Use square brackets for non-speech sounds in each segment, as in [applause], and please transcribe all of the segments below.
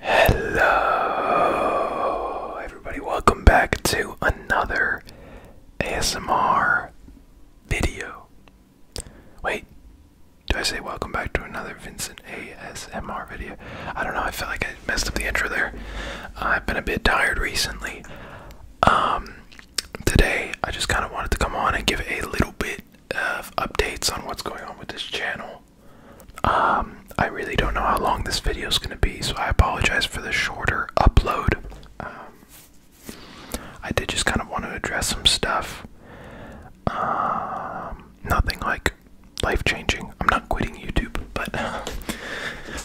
Hello, everybody. Welcome back to another ASMR video. Wait, do I say welcome back to another Vincent ASMR video? I don't know. I feel like I messed up the intro there. I've been a bit tired recently. Um, today I just kind of wanted to come on and give a little bit uh, updates on what's going on with this channel. Um, I really don't know how long this video is going to be, so I apologize for the shorter upload. Um, I did just kind of want to address some stuff. Um, nothing like life changing. I'm not quitting YouTube, but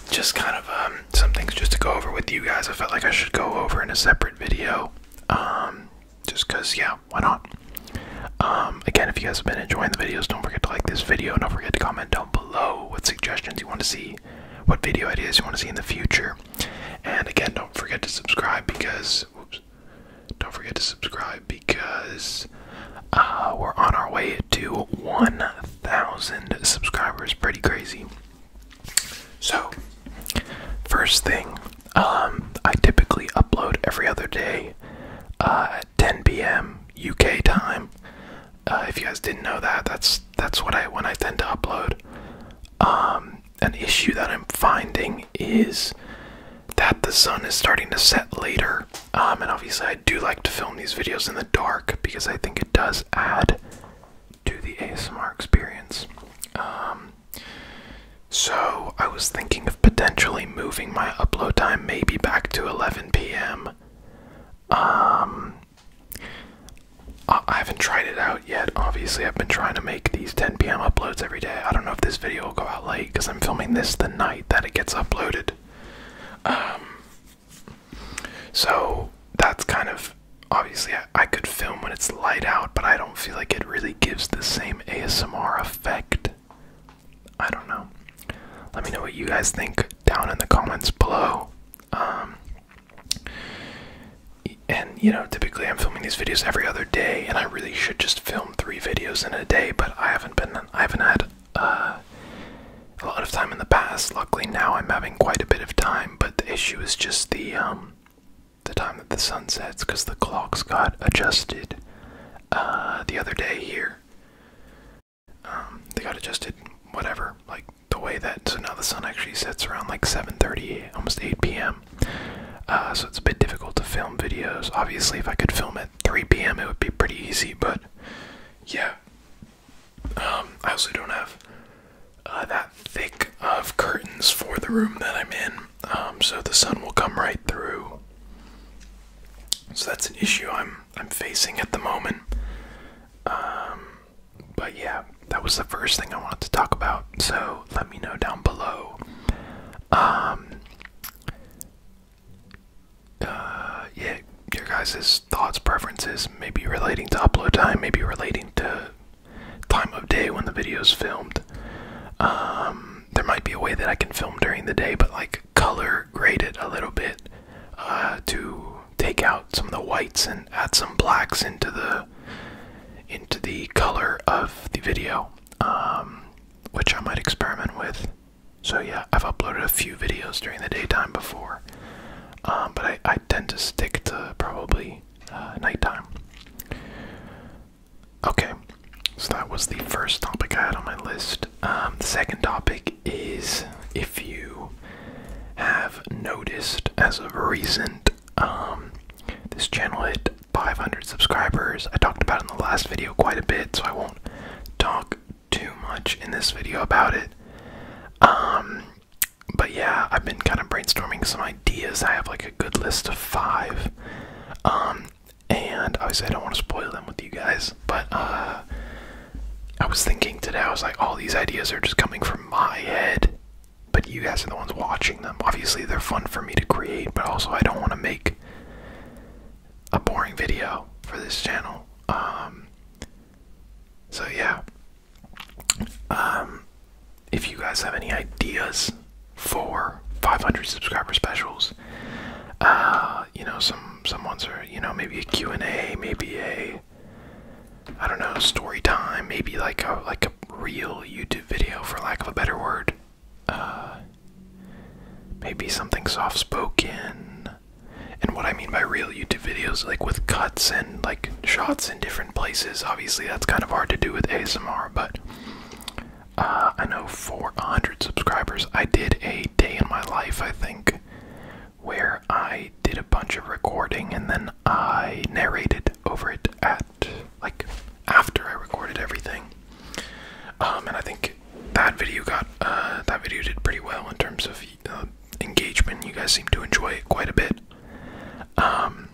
[laughs] just kind of some things just to go over with you guys. I felt like I should go over in a separate video just because yeah why not um, again if you guys have been enjoying the videos don't forget to like this video don't forget to comment down below what suggestions you want to see what video ideas you want to see in the future and again don't forget to subscribe because oops, don't forget to subscribe because uh, we're on our way to 1000 subscribers pretty crazy so, first thing, um, I typically upload every other day uh, at 10 p.m. UK time. Uh, if you guys didn't know that, that's that's what I when I tend to upload. Um, an issue that I'm finding is that the sun is starting to set later, um, and obviously I do like to film these videos in the dark because I think it does add to the ASMR experience. Um, so I was thinking of potentially moving my upload time maybe back to 11 p.m. Um, I haven't tried it out yet. Obviously, I've been trying to make these 10 p.m. uploads every day. I don't know if this video will go out late because I'm filming this the night that it gets uploaded. Um, so that's kind of obviously I, could film when it's light out, but I don't feel like it really gives the same ASMR effect. I don't know. Let me know what you guys think down in the comments below. Um, and you know, typically I'm filming these videos every other day, and I really should just film three videos in a day, but I haven't been, I haven't had uh, a lot of time in the past. Luckily, now I'm having quite a bit of time but the issue is just the um the time that the sun sets because the clocks got adjusted uh, the other day here. Um, they got adjusted whatever, like the way that so now the sun actually sets around like 7:30, almost 8 p.m. Uh, so it's a bit difficult to film videos. Obviously, if I could film at 3 p.m., it would be pretty easy, but yeah, um, I also don't have uh, that thick of curtains for the room that I'm in, um, so the sun will come right through. So that's an issue I'm I'm facing at the moment. Um, but yeah, that was the first thing I wanted to talk about. So let me know down below. Um, uh, yeah, your guys' thoughts, preferences, maybe relating to upload time, maybe relating to time of day when the video is filmed. Um, there might be a way that I can film during the day, but like color grade it a little bit uh, to take out some of the whites and add some blacks into the into the color of the video, um, which I might experiment with. So yeah, I've uploaded a few videos during the daytime before. Um, but I, tend to stick to probably uh, nighttime. Okay, so that was the first topic I had on my list. Um, the second topic is if you have noticed as of recent, um, this channel hit 500 subscribers. I talked about it in the last video quite a bit, so I won't talk too much in this video about it. Um, but yeah, I've been kind of brainstorming some ideas. I have like a good list of five. Um, and obviously I don't want to spoil them with you guys, but uh, I was thinking today, I was like, all these ideas are just coming from my head, but you guys are the ones watching them. Obviously, they're fun for me to create, but also I don't want to make a boring video for this channel. Um, so yeah. Um, if you guys have any ideas for 500 subscriber specials, uh, you know, some some ones are, you know, maybe a Q&A, maybe a I don't know, story time, maybe like a like a real YouTube video for lack of a better word. Uh, maybe something soft spoken, and what I mean by real YouTube videos, like with cuts and like shots in different places, obviously that's kind of hard to do with ASMR, but uh, I know 400 subscribers, I did a day in my life, I think, where I did a bunch of recording and then I narrated over it at like after I recorded everything. Um, and I think that video got uh, that video did pretty well in terms of uh, engagement. You guys seem to enjoy it quite a bit. Um,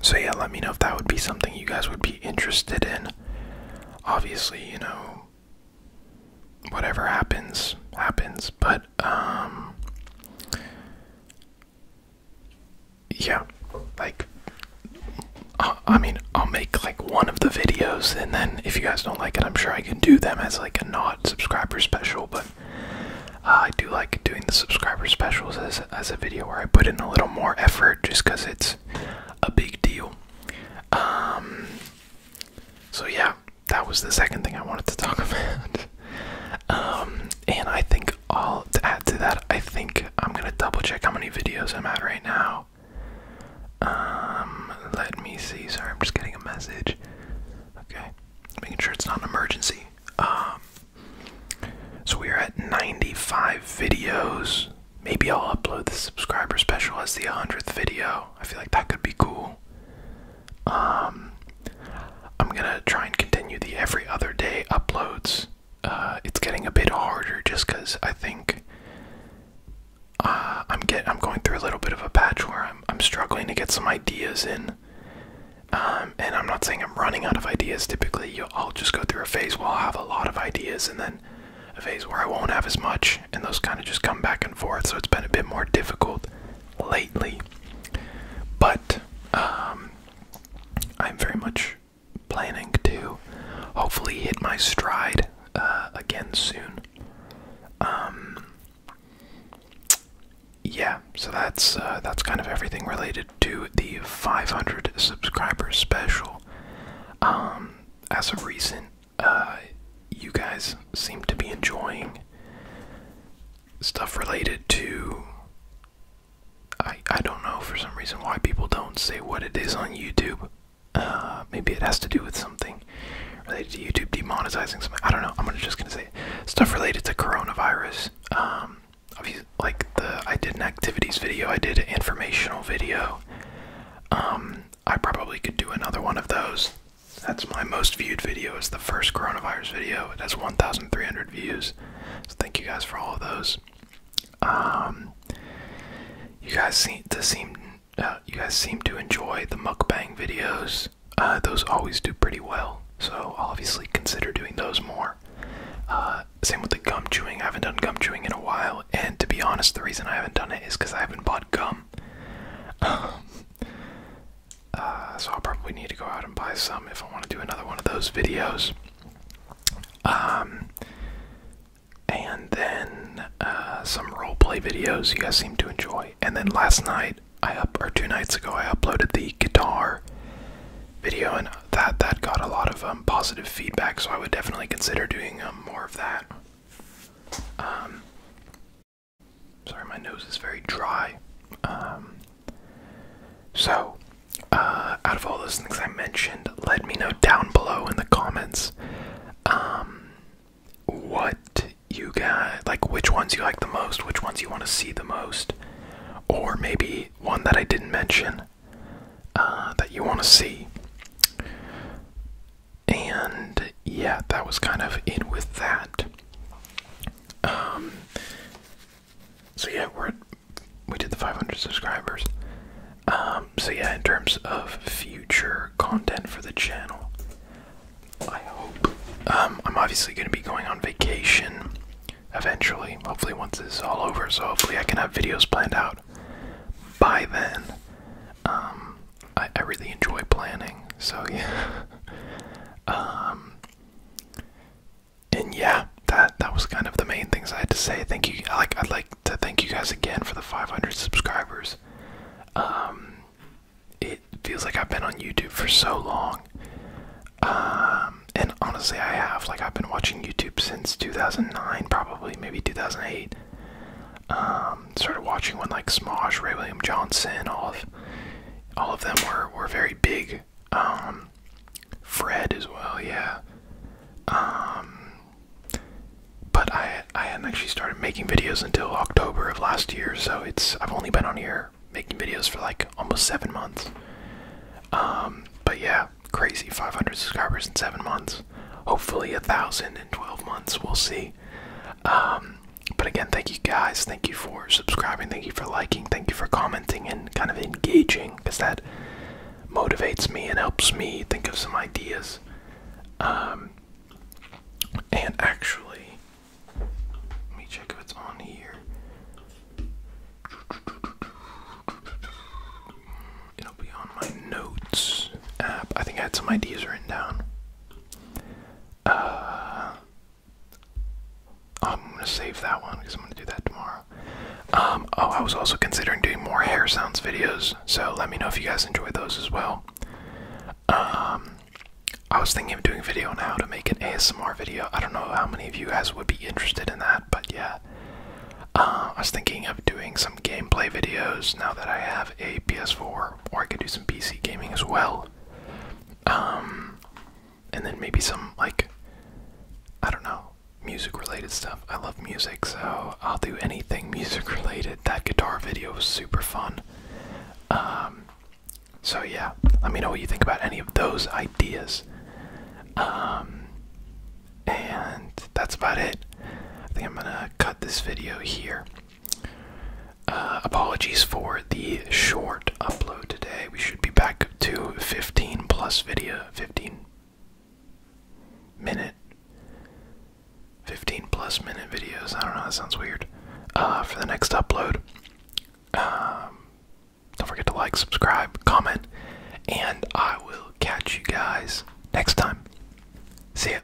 so yeah, let me know if that would be something you guys would be interested in. Obviously, you know, whatever happens happens, but um, yeah, like I mean, I'll make like one of the videos, and then if you guys don't like it, I'm sure I can do them as like a not subscriber special. But uh, I do like doing the subscriber specials as as a video where I put in a little more effort, just because it's a big deal. Um. So yeah, that was the second thing I wanted to talk [laughs] about. um, and I think I'll to add to that. I think I'm gonna double check how many videos I'm at right now. Um, let me see. Sorry, I'm just getting a message. Okay, making sure it's not an emergency. Um, so we are at 95 videos. Maybe I'll upload the subscriber special as the 100th video. I feel like that could be cool. Um, I'm gonna try and continue the every other day uploads. Uh, it's getting a bit harder just because I think uh, I'm get I'm going through a little bit of a patch where I'm I'm struggling to get some ideas in. Um, and I'm not saying I'm running out of ideas. Typically, I'll just go through a phase where I'll have a lot of ideas, and then a phase where I won't have as much, and those kind of just come back and forth. So it's been a bit more difficult lately. But um, I'm very much planning to hopefully hit my stride uh, again soon. Um, yeah, so that's uh, that's kind of everything related to the 500 subscribers special. Um, as of recent, uh, you guys seem to be enjoying stuff related to I I don't know for some reason why people don't say what it is on YouTube. Uh, maybe it has to do with something related to YouTube demonetizing something. I don't know. I'm just gonna say stuff related to coronavirus. Um, like the I did an activities video. I did an informational video. Um, I probably could do another one of those. That's my most viewed video. Is the first coronavirus video. It has 1,300 views. So thank you guys for all of those. Um, you guys seem to seem uh, you guys seem to enjoy the mukbang videos. Uh, those always do pretty well, so obviously consider doing those more. Uh, same with the gum chewing. I haven't done gum chewing in a while, and to be honest, the reason I haven't done it is because I haven't bought gum. [laughs] Um, so I'll probably need to go out and buy some if I want to do another one of those videos. Um, and then uh, some roleplay videos you guys seem to enjoy. And then last night, I up or two nights ago, I uploaded the guitar video, and that that got a lot of um, positive feedback. So I would definitely consider doing um, more of that. Um, sorry, my nose is very dry. Um, so, uh, out of all those things I mentioned, let me know down below in the comments um, what you got, like, which ones you like the most, which ones you want to see the most, or maybe one that I didn't mention uh, that you want to see. And yeah, that was kind of it with that. Um, so yeah, we're at, we did the 500 subscribers. Um, so yeah, in terms of future content for the channel, I hope um, I'm obviously going to be going on vacation eventually. Hopefully, once this is all over, so hopefully I can have videos planned out by then. Um, I, really enjoy planning, so yeah. [laughs] and yeah, that that was kind of the main things I had to say. Thank you. Like I'd like to thank you guys again for the 500 subscribers. Um, it feels like I've been on YouTube for so long. Um, and honestly, I have. Like I've been watching YouTube since 2009, probably maybe 2008. Um, started watching one like Smosh, Ray William Johnson, all of all of them were were very big. Um, Fred as well, yeah. Um, but I I hadn't actually started making videos until October of last year, so it's I've only been on here making videos for like almost seven months. Um, but yeah, crazy 500 subscribers in seven months. Hopefully a thousand in 12 months. We'll see. But again, thank you guys. Thank you for subscribing. Thank you for liking. Thank you for commenting and kind of engaging because that motivates me and helps me think of some ideas. Um, and actually, let me check if it's on here. It'll be on my notes app. I think I had some ideas written down. Uh, I'm gonna save that one because I'm gonna do that tomorrow. Um, oh, I was also considering doing more hair sounds videos, so let me know if you guys enjoy those as well. Um, I was thinking of doing a video on how to make an ASMR video. I don't know how many of you guys would be interested in that, but yeah. Uh, I was thinking of doing some gameplay videos now that I have a PS4, or I could do some PC gaming as well. Um, and then maybe some like I don't know music related stuff. I love music, so I'll do anything [laughs] music related. That guitar video was super fun. Um, so yeah, let me know what you think about any of those ideas. Um, and that's about it. I think I'm gonna cut this video here. Uh, apologies for the short upload today. We should be back to 15 plus video, 15 minute, 15 plus minute videos. I don't know, that sounds weird. Uh, for the next upload. Um, don't forget to like, subscribe, comment, and I will catch you guys next time. See ya.